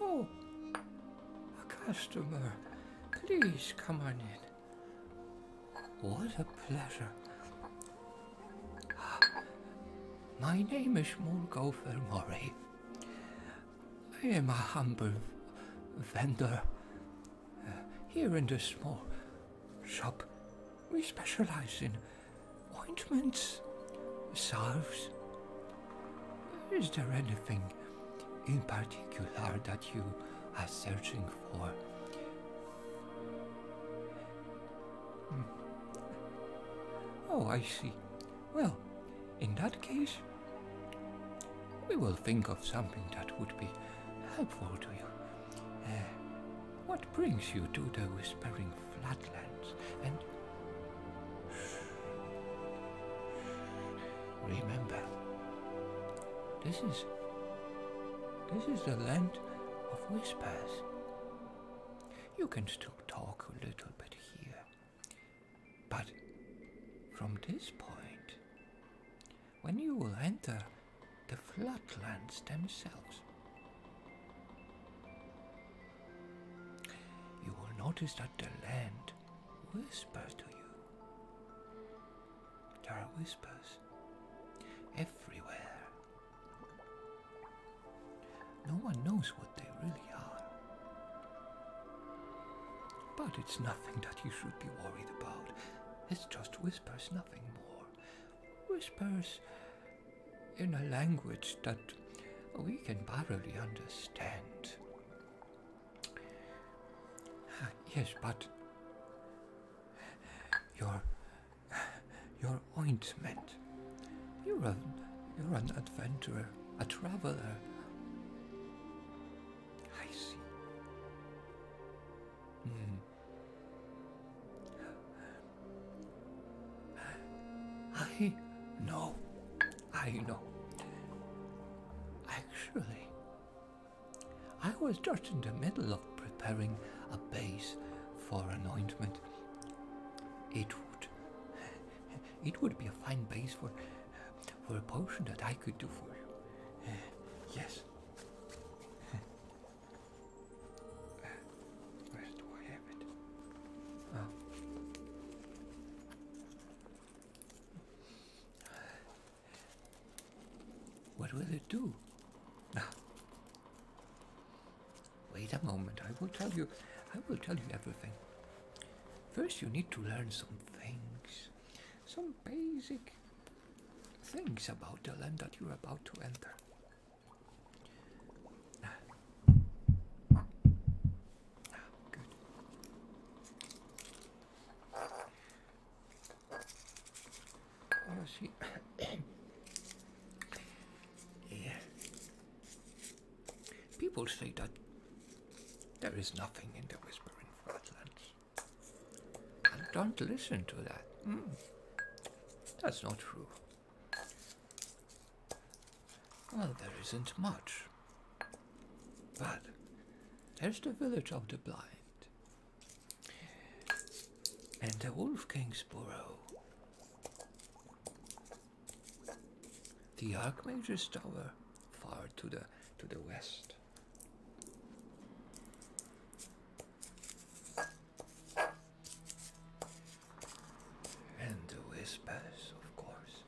Oh, a customer. Please come on in. What a pleasure. My name is Mulgofer Mori. I am a humble vendor here in this small shop, we specialize in ointments, salves. Is there anything in particular that you are searching for? Hmm. Oh, I see. Well, in that case, we will think of something that would be helpful to you. Uh, what brings you to the Whispering Flatlands? And remember, this is this is the land of whispers. You can still talk a little bit here, but from this point, when you will enter the floodlands themselves. You will notice that the land whispers to you. There are whispers everywhere. No one knows what they really are, but it's nothing that you should be worried about. It's just whispers, nothing more. Whispers in a language that we can barely understand. Ah, yes, but your your ointment. You're a you're an adventurer, a traveler. I see. Mm. I know. I know. Actually, I was just in the middle of preparing a base for anointment. It would. It would be a fine base for for a potion that I could do for you. Eh, yes. where do I have it? What will it do? Ah. Wait a moment, I will tell you I will tell you everything. First you need to learn some things some basic things about the land that you're about to enter. Ah. good. You oh, see, yeah, People say that there is nothing in the Whispering Flatlands. And don't listen to that. Hmm. That's not true. Well, there isn't much. But there's the village of the blind. And the Wolf King's Burrow. The Archmage's Tower, far to the to the west. And the whispers, of course.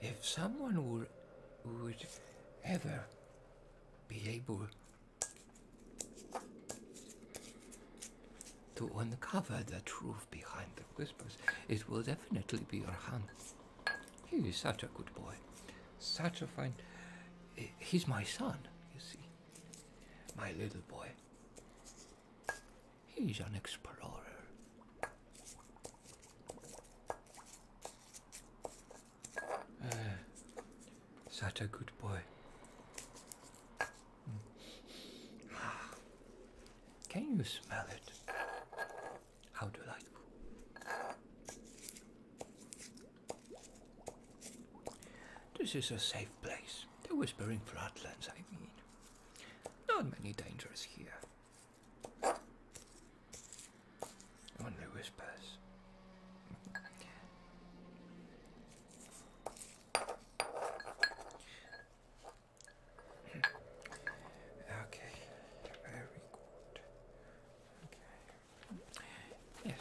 If someone would, would ever be able to uncover the truth behind the whispers, it will definitely be your hand. He is such a good boy. Such a fine. He's my son, you see. My little boy. He's an explorer. Uh, such a good boy. Hmm. Can you smell it? How do delightful. This is a safe place. The Whispering Flatlands, I mean. Not many dangers here. Only whispers. Okay, very good. Yes.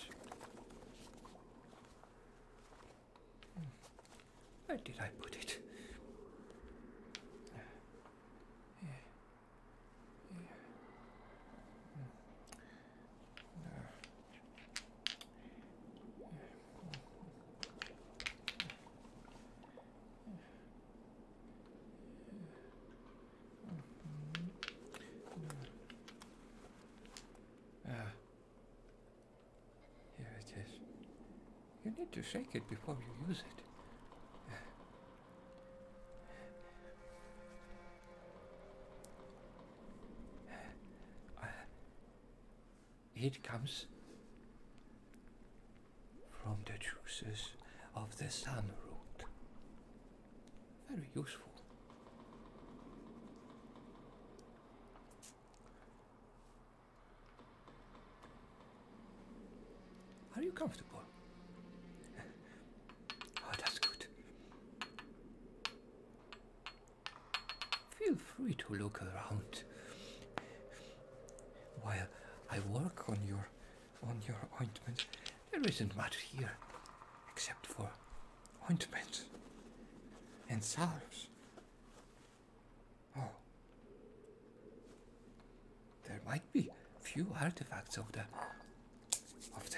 Where did I put it? Hmm. Ah. ah, here it is. You need to shake it before you use it. Ah. it comes from the juices of the sunroot. Very useful. Are you comfortable? Oh, that's good. Feel free to look around while I work on your on your ointment. There isn't much here except for ointments and salves. Oh. There might be a few artifacts of the of the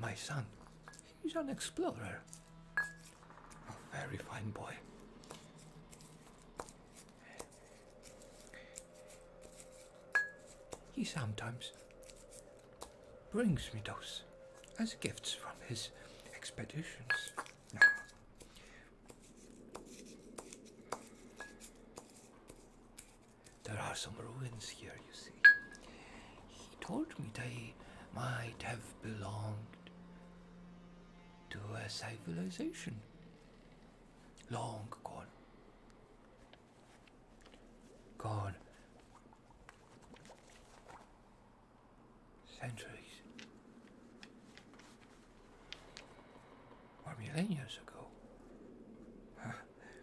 my son, he's an explorer. A very fine boy. He sometimes brings me those as gifts from his expeditions. There are some ruins here, you see. He told me they might have belonged to a civilization long gone. Gone centuries or millennia ago.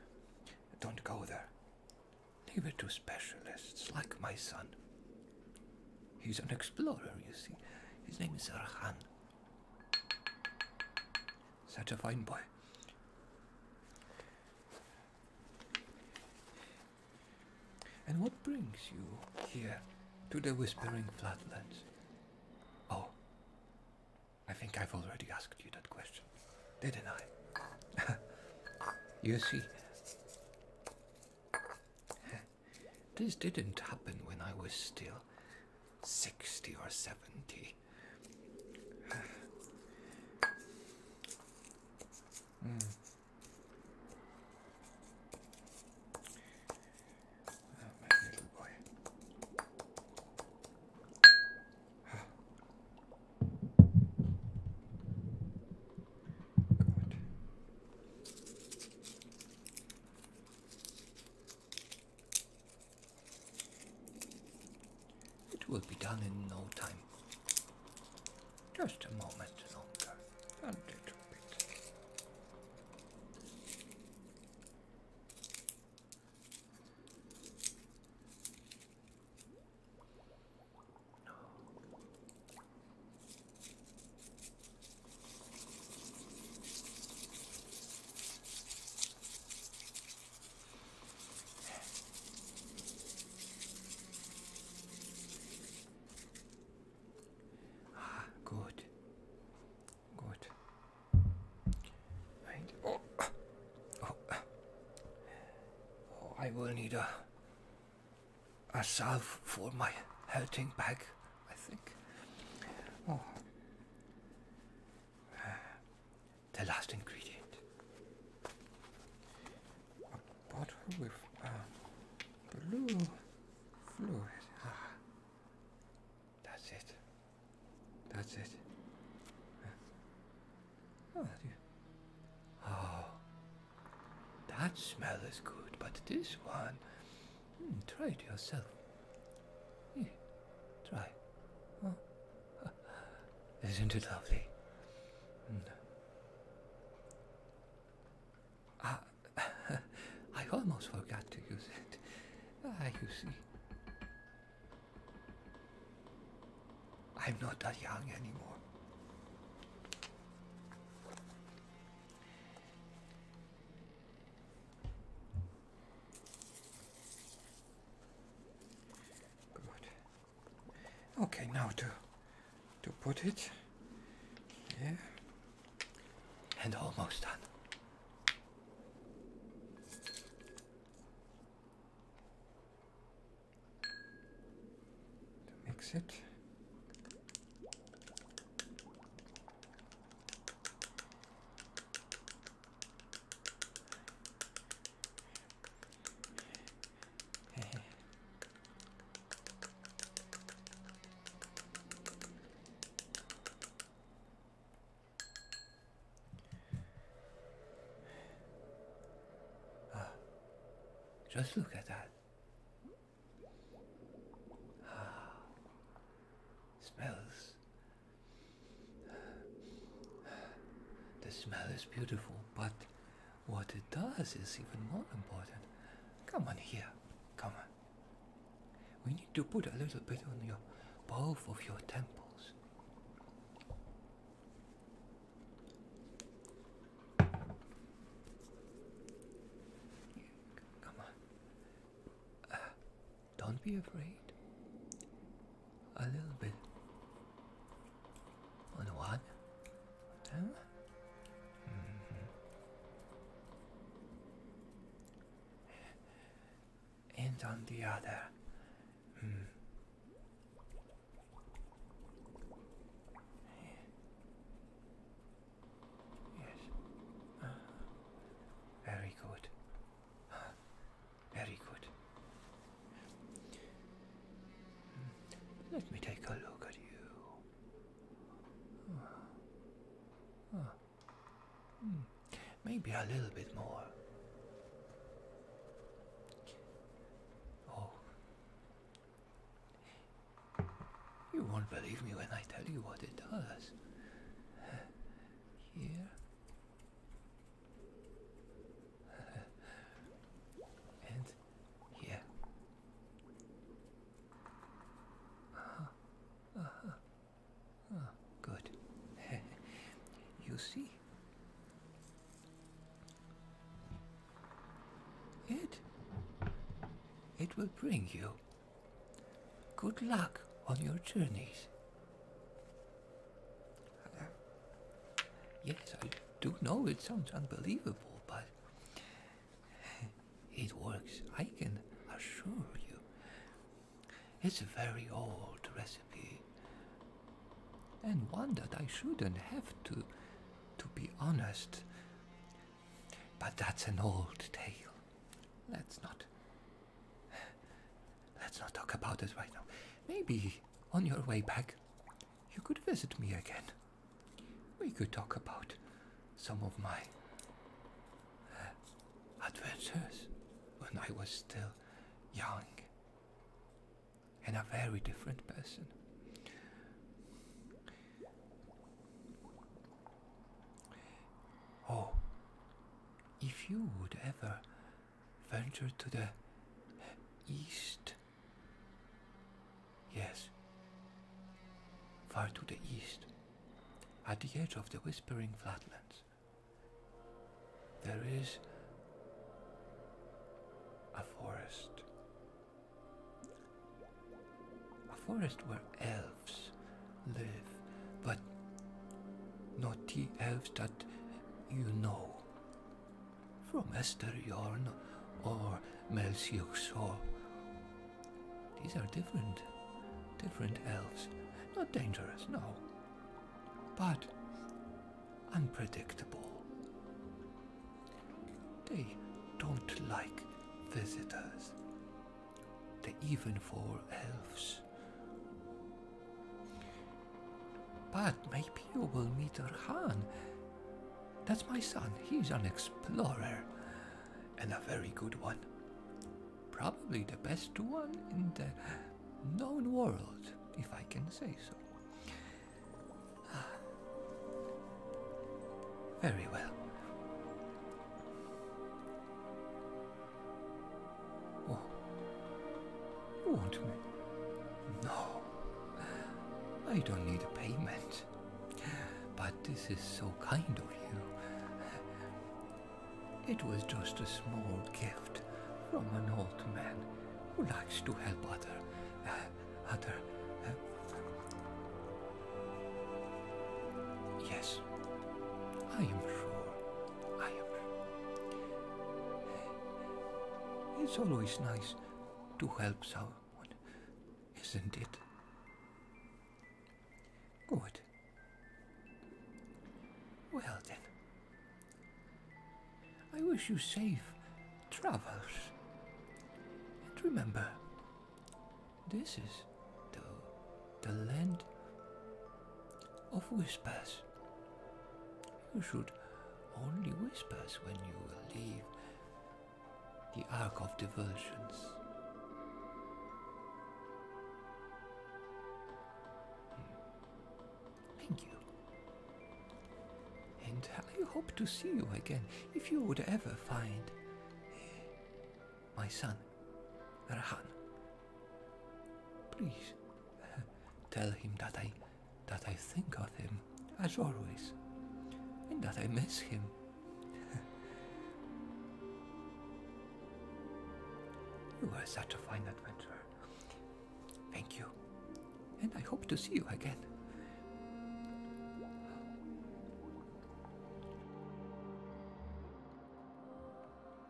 Don't go there. Leave it to specialists like my son. He's an explorer, you see. His name is Arhan. Such a fine boy. And what brings you here to the Whispering Flatlands? Oh, I think I've already asked you that question, didn't I? you see, this didn't happen when I was still 60 or 70. Hmm. It will be done in no time. Just a moment longer. A little bit. Ah, good. Good. Right. Oh. Oh. oh, I will need a a salve for my hurting back, I think. Oh. Ah, the last ingredient. Bottle with uh, blue fluid. Ah, that's it. That's it. Ah, oh, that smell is good, but this one, hmm, try it yourself. try. Oh, isn't it lovely? Hmm. Uh, I almost forgot to use it. Ah, you see. I'm not that young anymore. Good. Okay, now to to put it here, and almost done. To mix it. just look at that. Ah, smells. The smell is beautiful, but what it does is even more important. Come on here. Come on. We need to put a little bit on your both of your temples. Come on. Uh, don't be afraid a little bit. On what? Mm-hmm. And on the other. Hmm. Yes. Uh-huh. very good. Very good. Hmm. Let me take a look at you. Ah. Ah. Hmm. Maybe a little bit more. Oh. You won't believe me when I tell you what it does. Here and here. Uh-huh. uh good. you see? It it will bring you good luck on your journeys. Yes, I do know it sounds unbelievable, but it works. I can assure you. It's a very old recipe, and one that I shouldn't have to, to be honest. But that's an old tale. Let's not. Let's not talk about it right now. Maybe on your way back, you could visit me again. We could talk about some of my uh, adventures when I was still young and a very different person. Oh, if you would ever venture to the east. Yes, far to the east, at the edge of the Whispering Flatlands, there is a forest. A forest where elves live, but not the elves that you know from Esther or Melsilk saw. These are different, different elves. Not dangerous, no, but unpredictable. They don't like visitors. They even for elves but maybe you will meet Rahan. That's my son. He's an explorer. And a very good one. Probably the best one in the known world, if I can say so. Ah. Very well. Oh. You want me? No. I don't need a payment. But this is so kind of you. It was just a small gift from an old man who likes to help other, uh, other. Uh, yes, I am sure it's always nice to help someone, isn't it? Good. Well then, I wish you safe travels. And remember, this is the the land of whispers. You should only whisper when you will leave the arc of diversions. Hmm. Thank you. And I hope to see you again if you would ever find eh, my son, Rahan. Please uh, tell him that I that I think of him as always and that I miss him. you were such a fine adventurer. Thank you. And I hope to see you again.